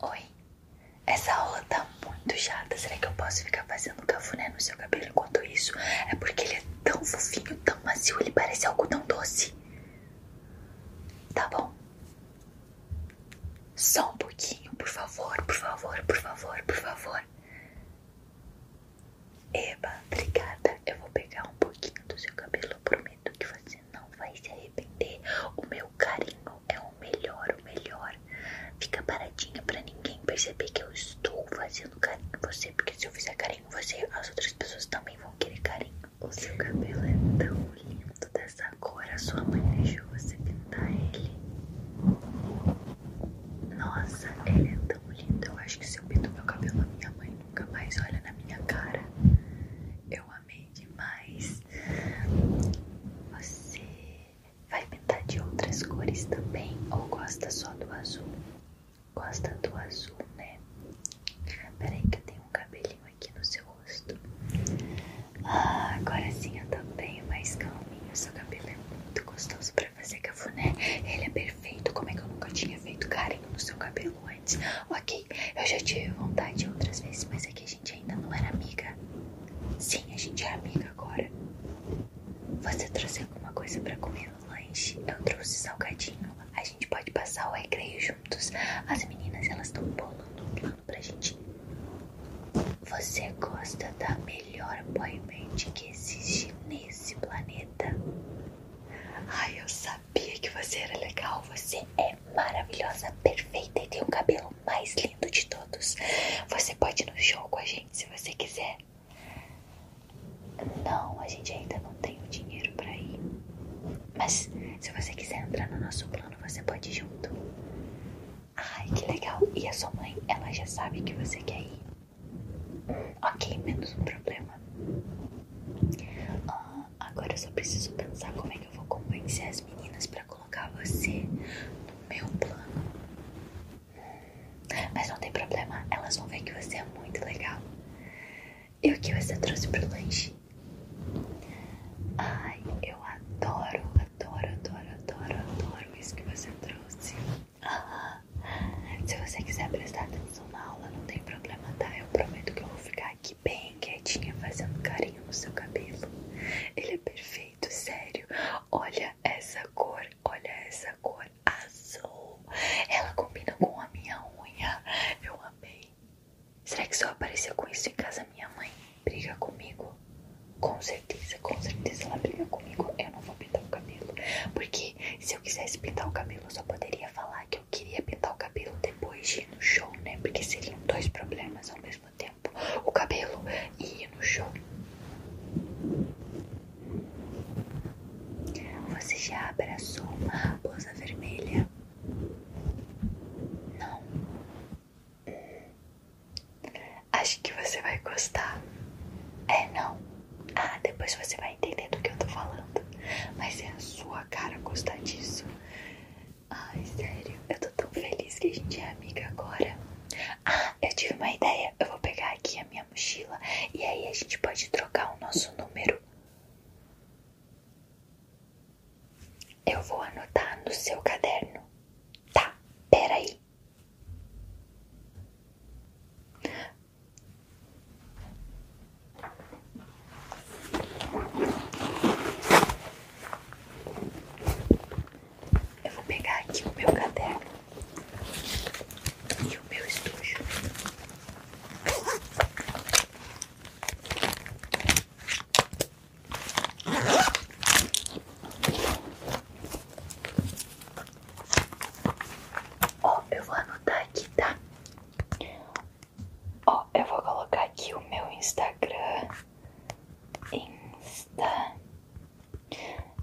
Oi, essa aula tá muito chata. Será que eu posso ficar fazendo cafuné no seu cabelo enquanto isso? É porque ele é tão fofinho, tão macio, ele parece algo tão doce. Tá bom. Só um pouquinho, por favor, por favor, por favor, por favor. Eba, obrigada. Eu vou pegar um pouquinho do seu cabelo, prometo prometo que você não vai se arrepender. O meu carinho é o melhor, o melhor. Fica paradinha pra ninguém perceber que eu estou fazendo carinho em você. Porque se eu fizer carinho em você, as outras pessoas também vão querer carinho. O seu cabelo é tão lindo dessa cor. A sua mãe deixou você pintar ele. Nossa, ele é tão lindo. Eu acho que se eu pinto meu cabelo, a minha mãe nunca mais olha na minha cara. Eu amei demais. Você vai pintar de outras cores também ou gosta só do azul? Gosta do azul, né? Peraí que eu tenho um cabelinho aqui no seu rosto. Ah, agora sim eu também, mais calminho. Seu cabelo é muito gostoso pra fazer cafuné. Ele é perfeito. Como é que eu nunca tinha feito carinho no seu cabelo antes? Ok, eu já tive vontade outras vezes, mas é que a gente ainda não era amiga. Sim, a gente é amiga agora. Você trouxe alguma coisa para comer no lanche? Eu trouxe salgadinho. A gente pode passar o recreio juntos. As meninas, elas estão bolando um plano pra gente. Você gosta da melhor boy band que existe nesse planeta? Ai, eu sabia sabia que você era legal. Você é maravilhosa, perfeita e tem o cabelo mais lindo de todos. Você pode ir no show com a gente se você quiser. Não, a gente ainda não tem o dinheiro para ir. Mas se você quiser entrar no nosso plano, você pode ir junto. Ai, que legal. E a sua mãe, ela já sabe que você quer ir. Ok, menos um problema. Ah, agora eu só preciso pensar como é que eu vou convencer as meninas para colocar você no meu plano. Mas não tem problema, elas vão ver que você é muito legal. E o que você trouxe pro lanche? Ai, eu adoro, adoro, adoro, adoro, adoro isso que você trouxe. Ah, se você quiser prestar atenção na aula, não tem problema, tá? Eu prometo que eu vou ficar aqui bem quietinha fazendo carinho no seu cabelo. Ele é perfeito, sério. Olha essa cor, olha essa cor azul. Ela combina com a minha unha. Eu amei. Será que só apareceu com isso em casa minha mãe? Briga comigo? Com certeza, com certeza ela briga comigo. Eu não vou pintar o cabelo. Porque se eu quisesse pintar o cabelo, eu só poderia falar que eu queria pintar o cabelo depois de ir no show, né? Porque seriam dois problemas ao mesmo tempo: o cabelo e ir no show. Você já abraçou uma raposa vermelha? Não. Hum. Acho que você vai gostar. É, não. Ah, depois você vai entender do que eu tô falando. Mas é a sua cara gostar disso. Ai, sério, eu tô tão feliz que a gente é amiga agora. Ah, eu tive uma ideia. Eu vou pegar aqui a minha mochila e aí a gente pode trocar o nosso número. Eu vou anotar no seu caderno. Tá, peraí. Eu vou pegar aqui o meu caderno e o meu estojo. Ó, oh, eu vou anotar aqui, tá? Ó, eu vou colocar aqui o meu Instagram. Insta.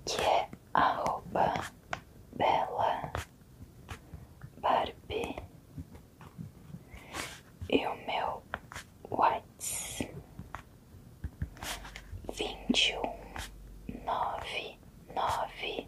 Que é arroba bela Barbie. E o meu Whats. um nove nove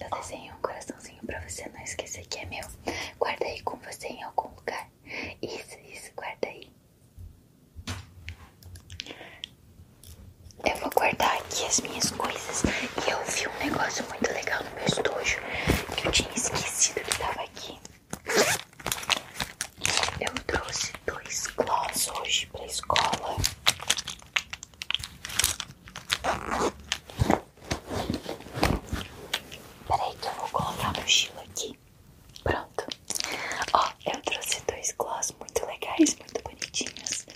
Eu desenho um coraçãozinho pra você não esquecer que é meu. Guarda aí com você em algum lugar. Isso, isso, guarda aí. Eu vou guardar aqui as minhas coisas. E eu vi um negócio muito legal no meu estojo que eu tinha esquecido que tava aqui. Eu trouxe dois gloss hoje pra escola. Peraí que eu vou colocar a mochila aqui. Pronto. Ó, eu trouxe dois gloss muito legais, muito bonitinhos.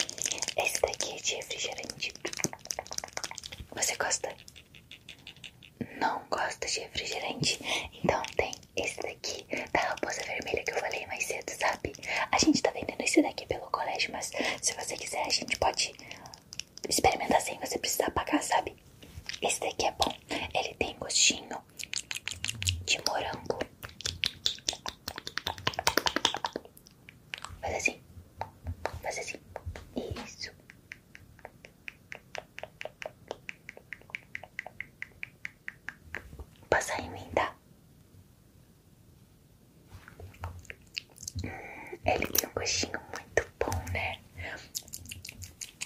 Esse daqui é de refrigerante. Você gosta? não gosta de refrigerante. Então tem esse daqui da raposa vermelha que eu falei mais cedo, sabe? A gente tá vendendo esse daqui pelo colégio, mas se você quiser a gente pode experimentar sem você precisar pagar, sabe? Esse daqui é bom. Ele tem gostinho de morango. Faz assim. Faz assim. Isso. Passar em mim, tá? Hum, ele tem um gostinho muito bom, né?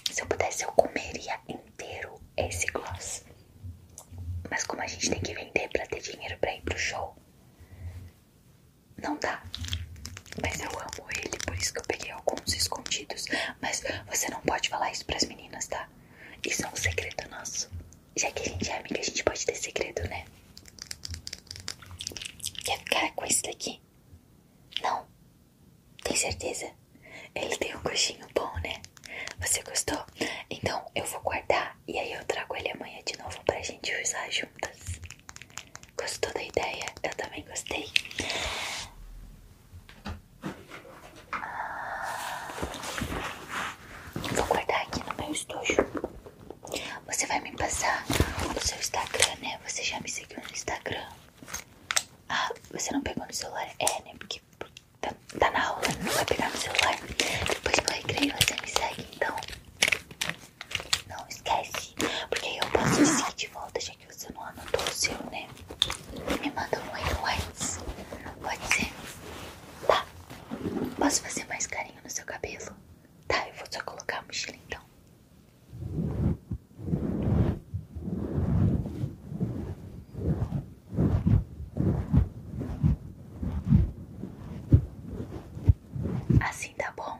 Se eu pudesse, eu comeria inteiro esse gloss. Mas como a gente tem que vender pra ter dinheiro pra ir pro show, não dá. Mas eu amo ele, por isso que eu peguei alguns escondidos. Mas você não pode falar isso pras meninas, tá? Isso é um segredo nosso. Já que a gente é amiga, a gente pode ter segredo, né? Quer ficar com esse daqui? Não. Tem certeza? Ele tem um gostinho bom, né? Você gostou? Então eu vou guardar e aí eu trago ele amanhã de novo pra gente usar juntas. Gostou da ideia? Eu também gostei. Ah, vou guardar aqui no meu estojo. Você vai me passar no seu Instagram, né? Você já me seguiu no Instagram. Ah, você não pegou no celular? É, né? Porque tá, tá na aula, não né? vai pegar no celular. Depois no recreio você me segue, então. Não esquece, porque eu posso sim de volta, já que você não anotou o seu, né? Me manda um white Pode ser? Tá. Posso fazer mais carinho no seu cabelo? Tá, eu vou só colocar a mochila então. Assim tá bom?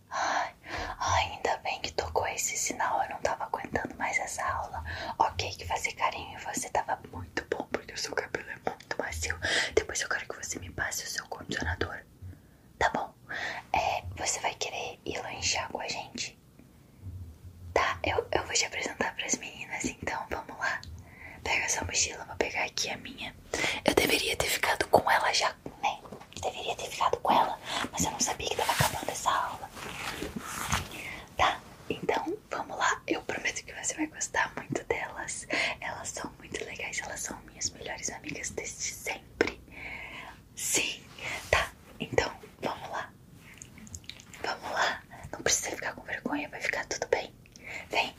Ai, ainda bem que tocou esse sinal, eu não tava aguentando mais essa aula. Ok, que fazer carinho em você tava muito bom, porque o seu cabelo é muito macio. Depois eu quero que você me passe o seu condicionador. Tá bom? É, você vai querer ir lanchar com a gente? Tá, eu, eu vou te apresentar pras meninas, então vamos lá. Pega sua mochila, vou pegar aqui a minha. Eu deveria ter ficado com ela já, né? Deveria ter ficado com ela, mas eu não sabia que tava acabando essa aula. Tá, então vamos lá. Eu prometo que você vai gostar muito delas. Elas são muito legais, elas são minhas melhores amigas desde sempre. Sim, tá, então vamos lá. Vamos lá. Não precisa ficar com vergonha, vai ficar tudo bem. Vem.